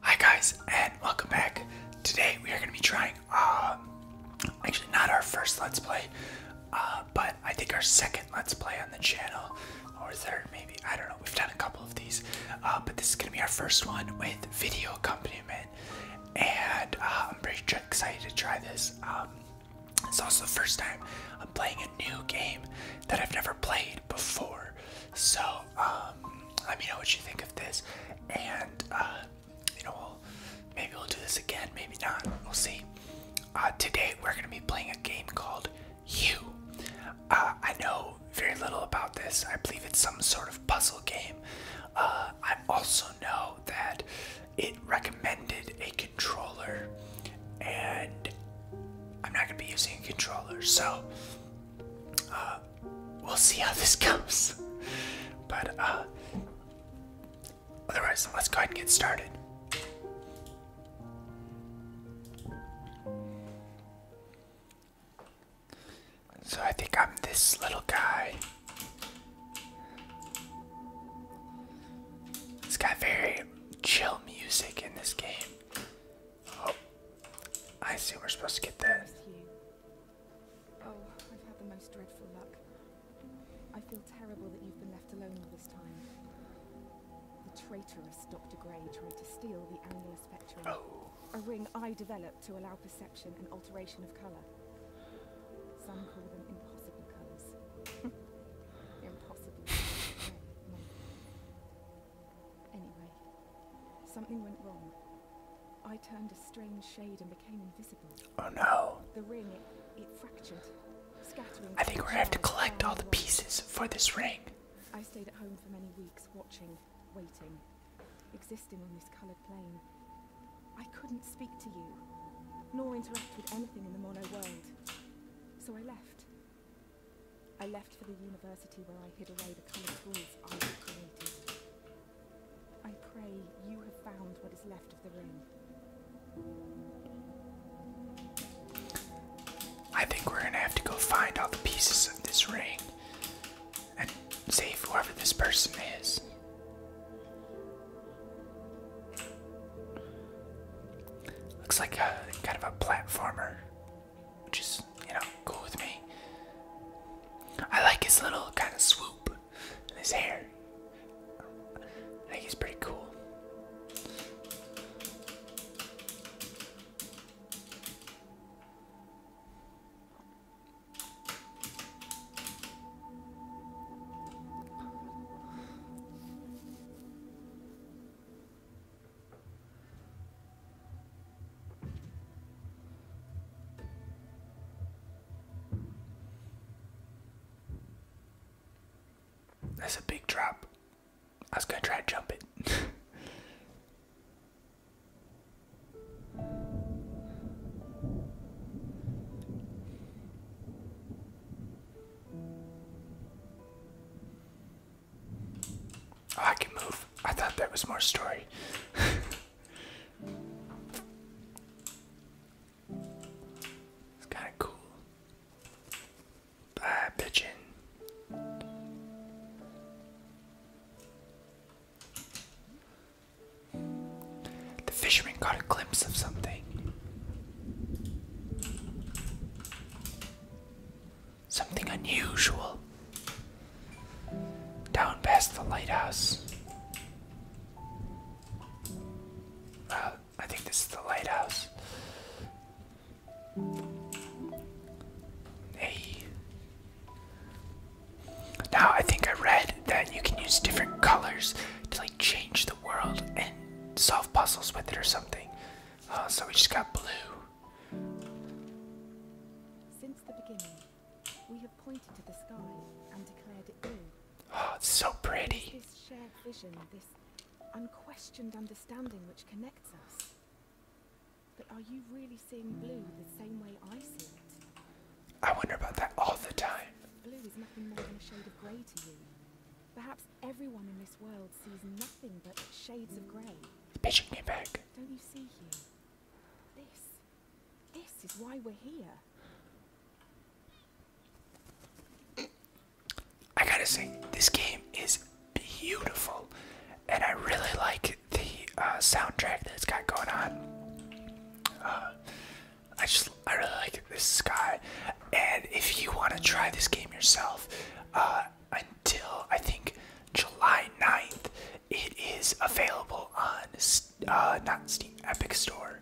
Hi guys and welcome back. Today we are going to be trying, um, actually not our first Let's Play, uh, but I think our second Let's Play on the channel, or third maybe, I don't know, we've done a couple of these, uh, but this is going to be our first one with video accompaniment, and uh, I'm pretty excited to try this. Um, it's also the first time I'm playing a new game that I've never played before, so um, let me know what you think of this, and uh, you know, maybe we'll do this again, maybe not. We'll see. Uh, today we're gonna be playing a game called You. Uh, I know very little about this. I believe it's some sort of puzzle game. I also know that it recommended a controller, and I'm not gonna be using a controller, so uh, we'll see how this goes. but uh, otherwise, let's go ahead and get started. So I think I'm this little guy. It's got very chill music in this game. Oh, I see we're supposed to get there. Oh, I've had the most dreadful luck. I feel terrible that you've been left alone all this time. The traitorous Dr. Gray tried to steal the annular spectrum. Oh. A ring I developed to allow perception and alteration of color. Some call them impossible colors. impossible. Anyway, something went wrong. I turned a strange shade and became invisible. Oh no. The ring, it, fractured, scattering. I think we're gonna have to collect all the pieces for this ring. I stayed at home for many weeks, watching, waiting, existing on this colored plane. I couldn't speak to you, nor interact with anything in the mono world. So I left, I left for the university where I hid away the coloured tools I had created. I pray you have found what is left of the ring. I think we're gonna have to go find all the pieces of this ring and save whoever this person is. Looks like a kind of a platformer which you know cool with me. I like his little kind of swoop and his hair. I think he's pretty cool. That's a big drop. I was gonna try to jump it. Oh, I can move. I thought that was more story. it's kind of cool. Ah, pigeon. The fisherman caught a glimpse of something. Something unusual. Down past the lighthouse. Uh, I think this is the lighthouse. Hey. Now I think I read that you can use different colors to like change the world and solve puzzles with it or something. Uh, so we just got blue. Since the beginning, we have pointed to the sky and declared it blue. Oh, it's so pretty. this shared vision, this unquestioned understanding which connects us. But are you really seeing blue the same way I see it? I wonder about that all the time. Blue is nothing more than a shade of grey to you. Perhaps everyone in this world sees nothing but shades of grey. Bitch, you get back. Don't you see here? This, this is why we're here. I gotta say, this game is beautiful, and I really like the uh, soundtrack that has got going on. Uh, I just, I really like this sky. And if you want to try this game yourself, uh, until I think July 9th. It is available on uh, not Steam Epic Store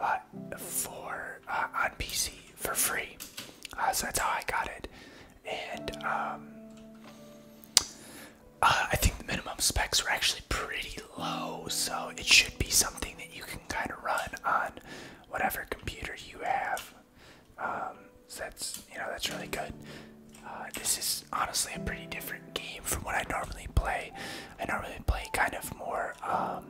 uh, for uh, on PC for free. Uh, so that's how I got it, and um, uh, I think the minimum specs are actually pretty low, so it should be something that you can kind of run on whatever computer you have. Um, so that's you know that's really good. Uh, this is honestly a pretty different game from what I normally play. I normally play kind of more. Um,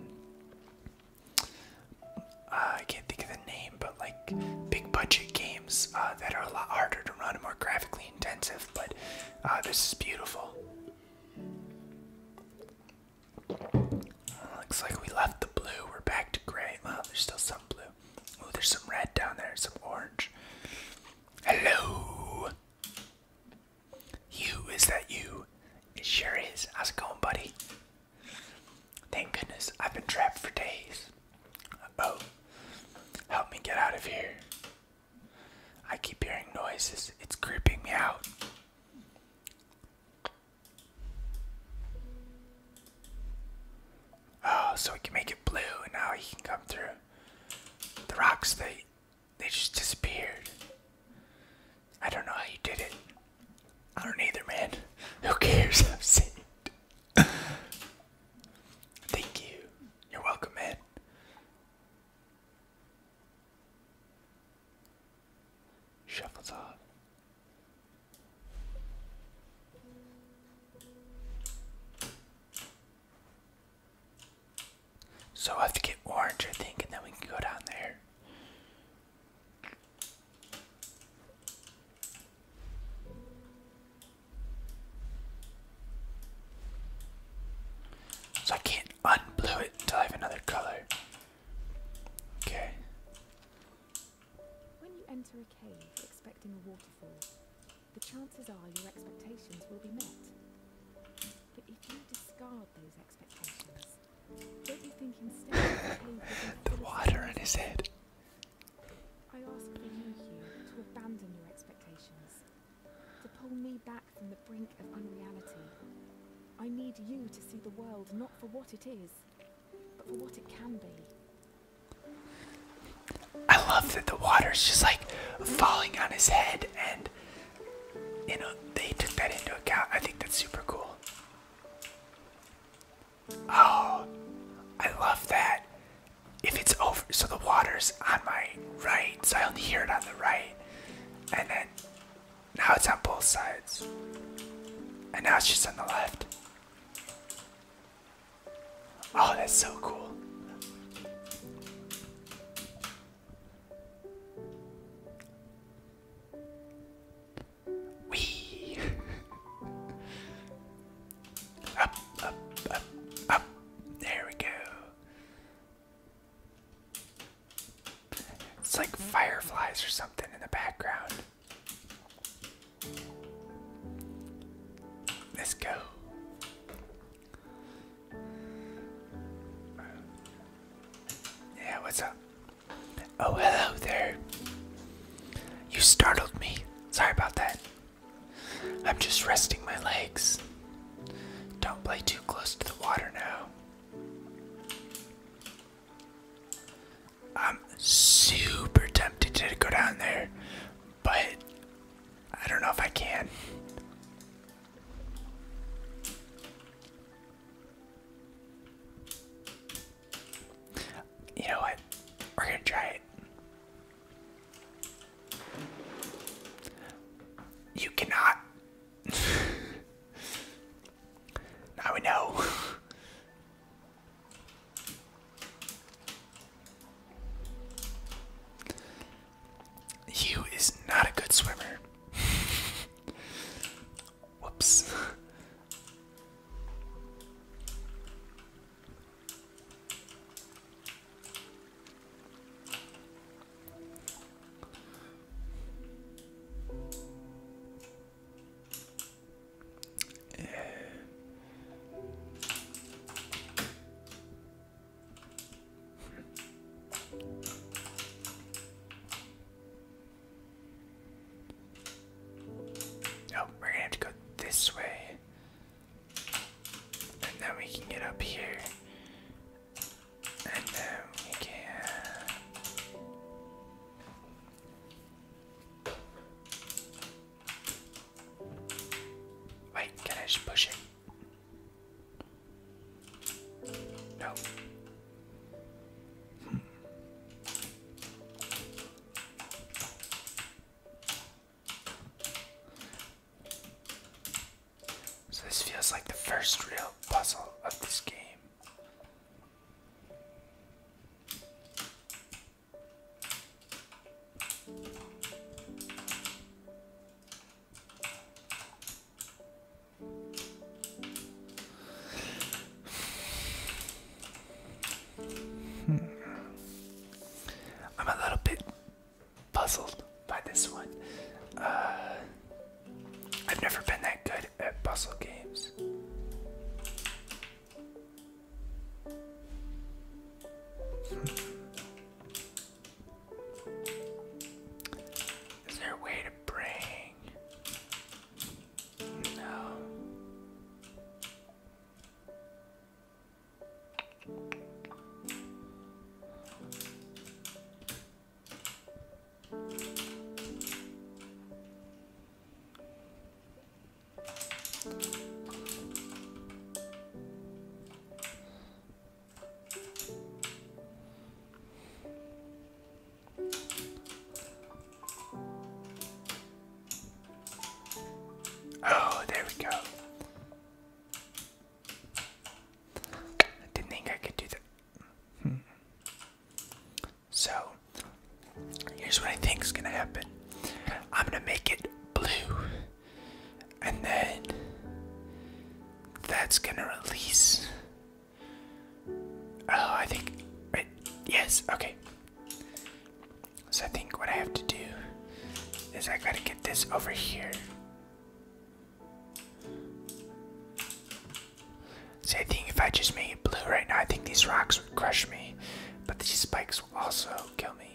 uh, I can't think of the name, but like big budget games uh, that are a lot harder to run, more graphically intensive. But this is beautiful. Looks like we left the blue. We're back to gray. Well, there's still some blue. Oh, there's some red down there, some orange. Hello! You, is that you? It sure is. How's it going, buddy? Thank goodness, I've been trapped for days. Oh, help me get out of here. I keep hearing noises. It's creeping me out. Oh, so we can make it blue and now he can come through. The rocks they they just disappeared. I don't know how you did it. I don't either man. Who cares? i am sitting. Thank you. You're welcome, man. Shuffles off. So I have to get orange, I think, and then we can go down there. So I can't unblue it until I have another color. Okay. When you enter a cave expecting a waterfall, the chances are your expectations will be met. But if you discard those expectations, don't you think instead the, water in his head? I ask for you, to abandon your expectations, to pull me back from the brink of unreality. I need you to see the world not for what it is, but for what it can be. I love that the water's just like falling on his head, and you know, they took that into account. I think that's super cool. Oh, I love that. If it's over, so the water's on my right, so I only hear it on the right, and then now it's on both sides. And now it's just on the left. Oh, that's so cool. Wee! up, up, up, up. There we go. It's like fireflies or something in the background. Let's go. Yeah, what's up? Oh, hello there. You startled me. Sorry about that. I'm just resting my legs. Don't play too close to the water now. I'm super tempted to go down there, but I don't know if I can. You know what? We're gonna try it. You cannot now we know. Hugh is not a good swimmer. Whoops. Oh, we're gonna have to go this way. And then we can get up here can. Wait, can I just push it? No. So this feels like the first real puzzle of this game. Hmm. I'm a little bit puzzled by this one. Uh, I've never been that good at puzzle games. Is there a way to bring? No. Oh, there we go. I didn't think I could do that. So, here's what I think is gonna happen I'm gonna make it blue, and then that's gonna release. Oh, I think. Right, yes, okay. So, I think what I have to do is I gotta get this over here. See, I think if I just made blue right now, I think these rocks would crush me, but these spikes will also kill me.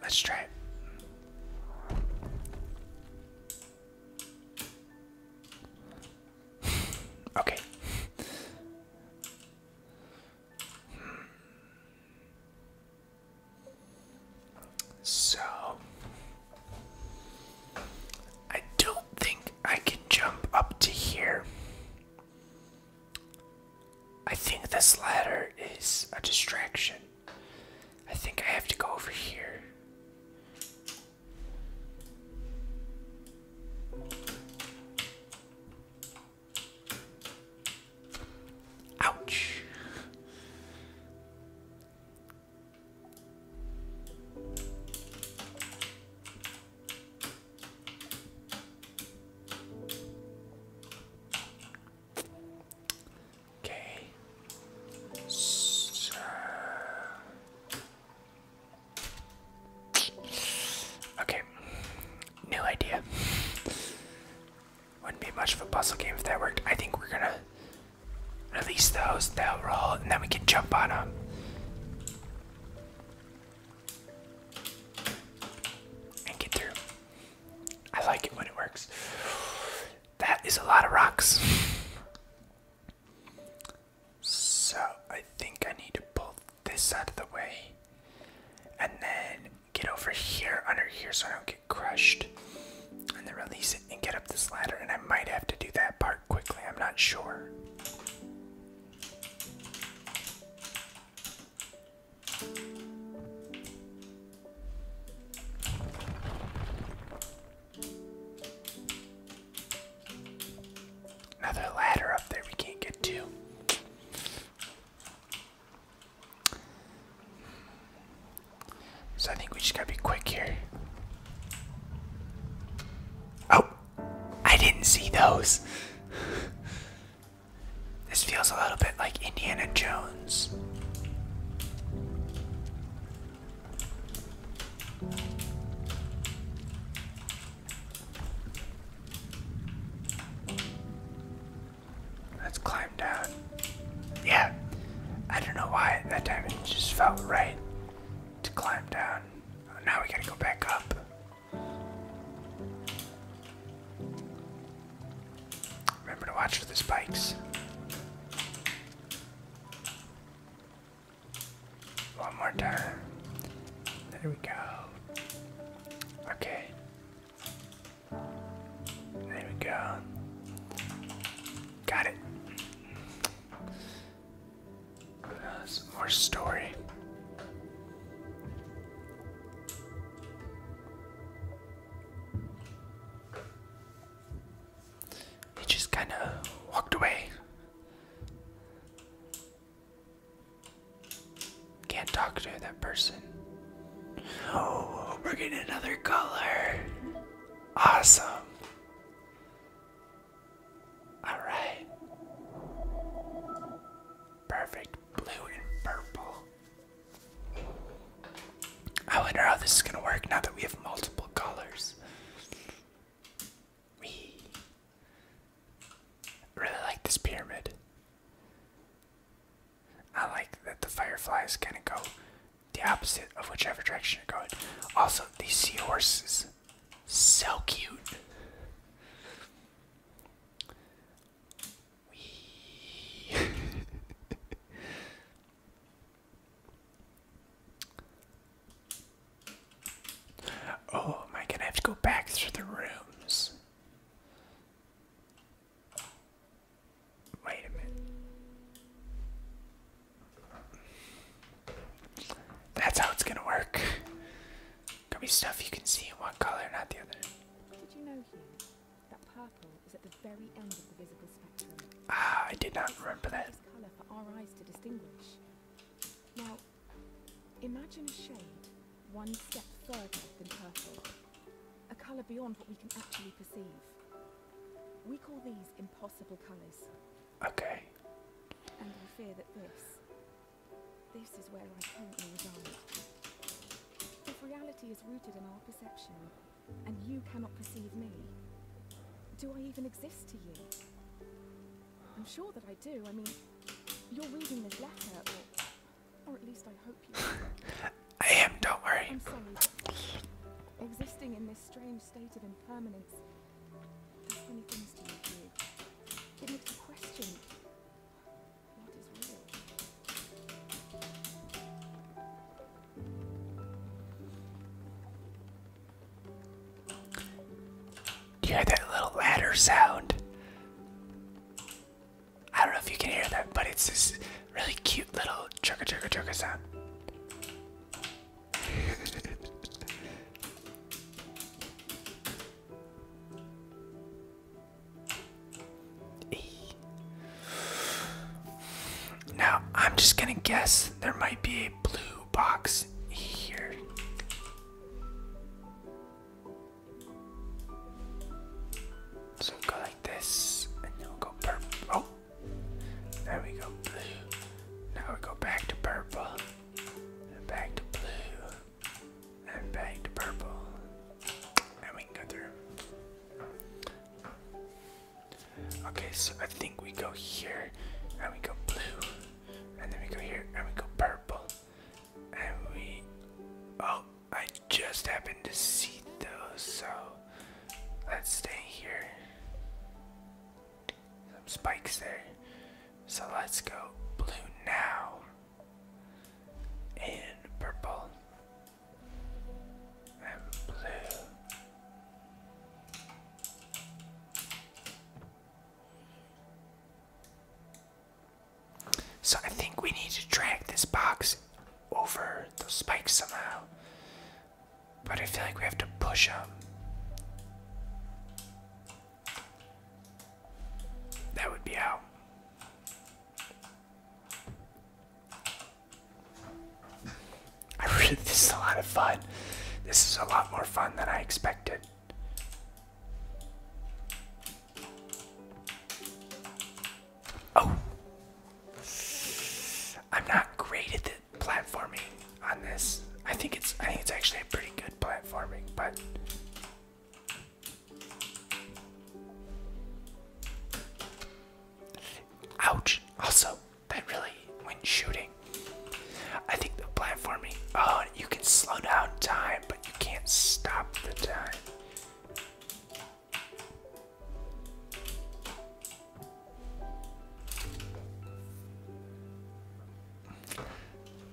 Let's try okay. So I don't think I can jump up to here. I think this ladder is a distraction. I think I have to go over here. Ouch. Okay. So Okay, new idea. Wouldn't be much of a puzzle game if that worked. I think we're gonna release those, they'll roll, and then we can jump on them. And get through. I like it when it works. That is a lot of rocks. So I think I need to pull this out of the way and then get over here under here so I don't get crushed and then release it and get up this ladder and I might have to do that part quickly I'm not sure Another ladder up there we can't get to. So I think we just gotta be quick here. Oh! I didn't see those! this feels a little bit like Indiana Jones. Let's climb down. Yeah, I don't know why that time just felt right to climb down. Now we gotta go back up. Remember to watch the spikes. One more time. There we go. Okay. There we go. Got it. some more story. He just kind of walked away. Can't talk to that person. Oh, we're getting another color. Awesome. All right. Perfect blue and purple. I wonder how this is going to work now that we have multiple colors. We really like this pyramid. I like that the fireflies kind of go the opposite of whichever direction you're going. Also, these seahorses, so cute. We Oh, am I have to go back through the rooms? Wait a minute. That's how it's gonna work. Gonna be stuff you can see in one color, not the other. Ah, I did not remember that. Now, imagine a shade one step further than purple, a color beyond what we can actually perceive. We call these impossible colors. Okay. And I fear that this, this is where I currently reside. If reality is rooted in our perception, and you cannot perceive me. Do I even exist to you? I'm sure that I do. I mean, you're reading this letter, or, or at least I hope you. I am. Don't worry. I'm sorry. Existing in this strange state of impermanence, there's many things to look It makes you question what is real. Do you hear that little ladder sound? I don't know if you can hear that, but it's this really cute little chugga chugga chugga sound. Now, I'm just gonna guess there might be a blue box here. So go like this, and then go purple. Oh, there we go, blue. Now we go back to purple, back to blue, and back to purple, and we can go through. Okay, so I think we go here, and we go blue, and then we go here, and we go purple, and we. Oh, I just happened to see those, so let's stay here. Some spikes there. So let's go blue now, and purple, so I think we need to drag this box over those spikes somehow. But I feel like we have to push them. That would be out this is a lot of fun. This is a lot more fun than I expected. Oh, I'm not great at the platforming on this. I think it's I think it's actually a pretty good platforming, but. Ouch! Also, that really went shooting. I think the platforming. Oh, you can slow down time, but you can't stop the time.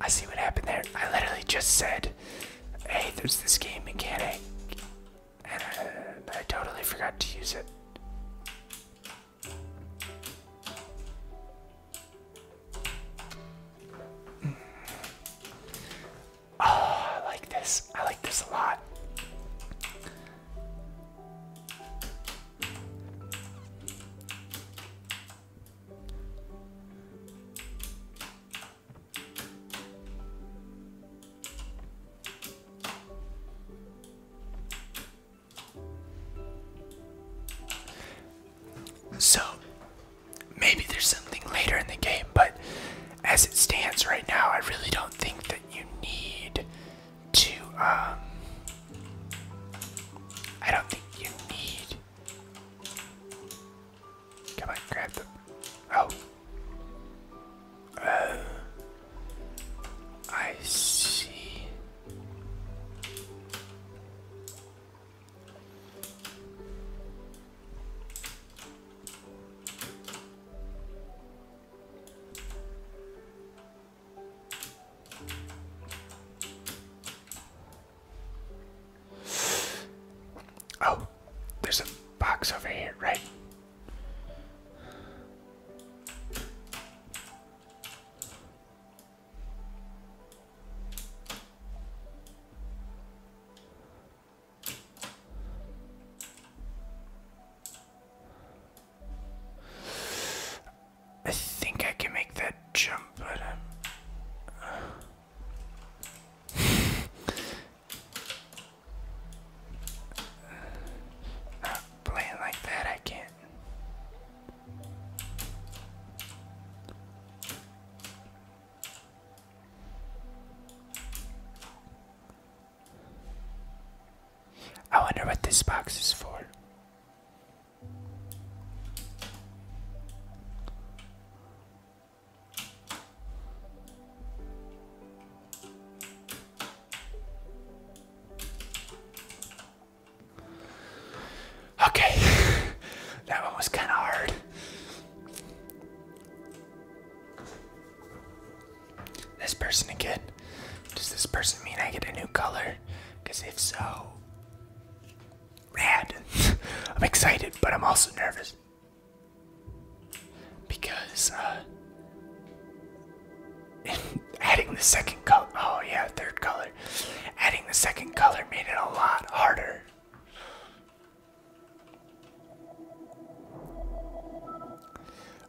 I see what happened there. I literally just said, hey, there's this game mechanic and I totally forgot to use it. Mm. Oh, I like this. I like this a lot. So, maybe there's something later in the game, but as it stands right now, I really don't think that you need to. Um, I don't think you need. Come on, grab them. Oh, Oh, I see. Oh, there's a box over here, right? I think I can make that jump, but I'm. Uh, not playing like that, I can't. I wonder what this box is for. Okay, that one was kind of hard. This person again. Does this person mean I get a new color? Because if so, rad. I'm excited, but I'm also nervous. Because, uh, adding the second color, oh yeah, third color, adding the second color made it a lot harder.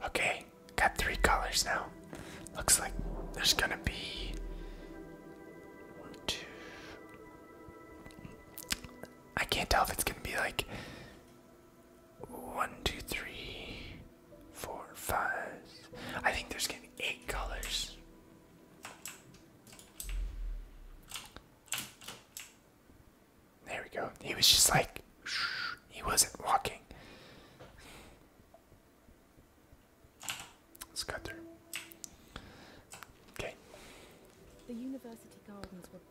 Okay, got three colors now. Looks like there's gonna be I can't tell if it's gonna be like one, two, three, four, five. I think there's gonna be eight colors. There we go. He was just like, he wasn't walking. Let's cut through. Okay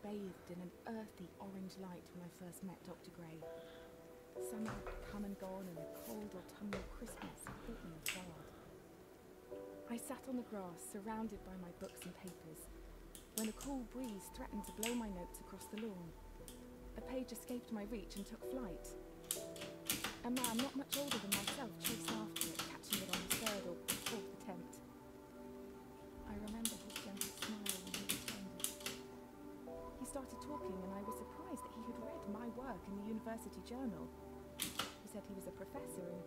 bathed in an earthy orange light when I first met Dr. Gray. Summer had come and gone, and a cold autumnal Christmas had hit me hard. I sat on the grass, surrounded by my books and papers, when a cool breeze threatened to blow my notes across the lawn. A page escaped my reach and took flight. A man not much older than myself chased after it, catching it on the third or fourth attempt. I remember his gentle smile when he returned it. He started talking, and I was surprised that he had read my work in the university journal. He said he was a professor and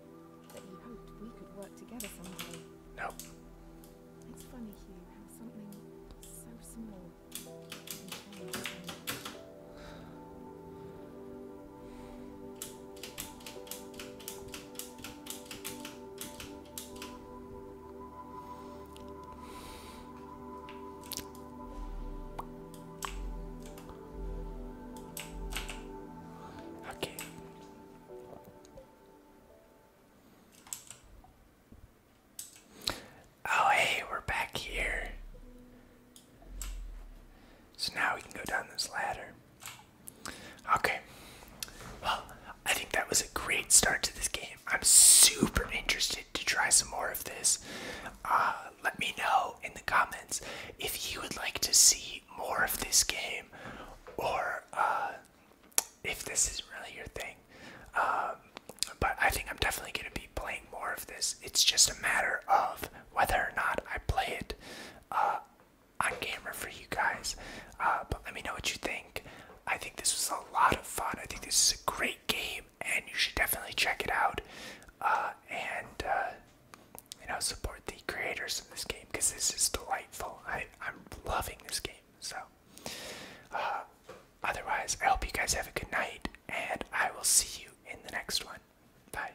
that he hoped we could work together someday. No. It's funny, Hugh, how something so small can change. Okay. Oh, hey, we're back here. So now we can go down this ladder. Okay. Well, I think that was a great start to this game. I'm super interested to try some more of this. Uh, let me know in the comments if you would like to see more of this game or uh, if this is really your thing. Um, but I think I'm definitely going to be playing more of this. It's just a matter of whether or not I play it. Uh, on camera for you guys. Uh, but let me know what you think. I think this was a lot of fun. I think this is a great game, and you should definitely check it out. Uh, and uh, you know, support the creators of this game because this is delightful. I, I'm loving this game. So, otherwise, I hope you guys have a good night, and I will see you in the next one. Bye.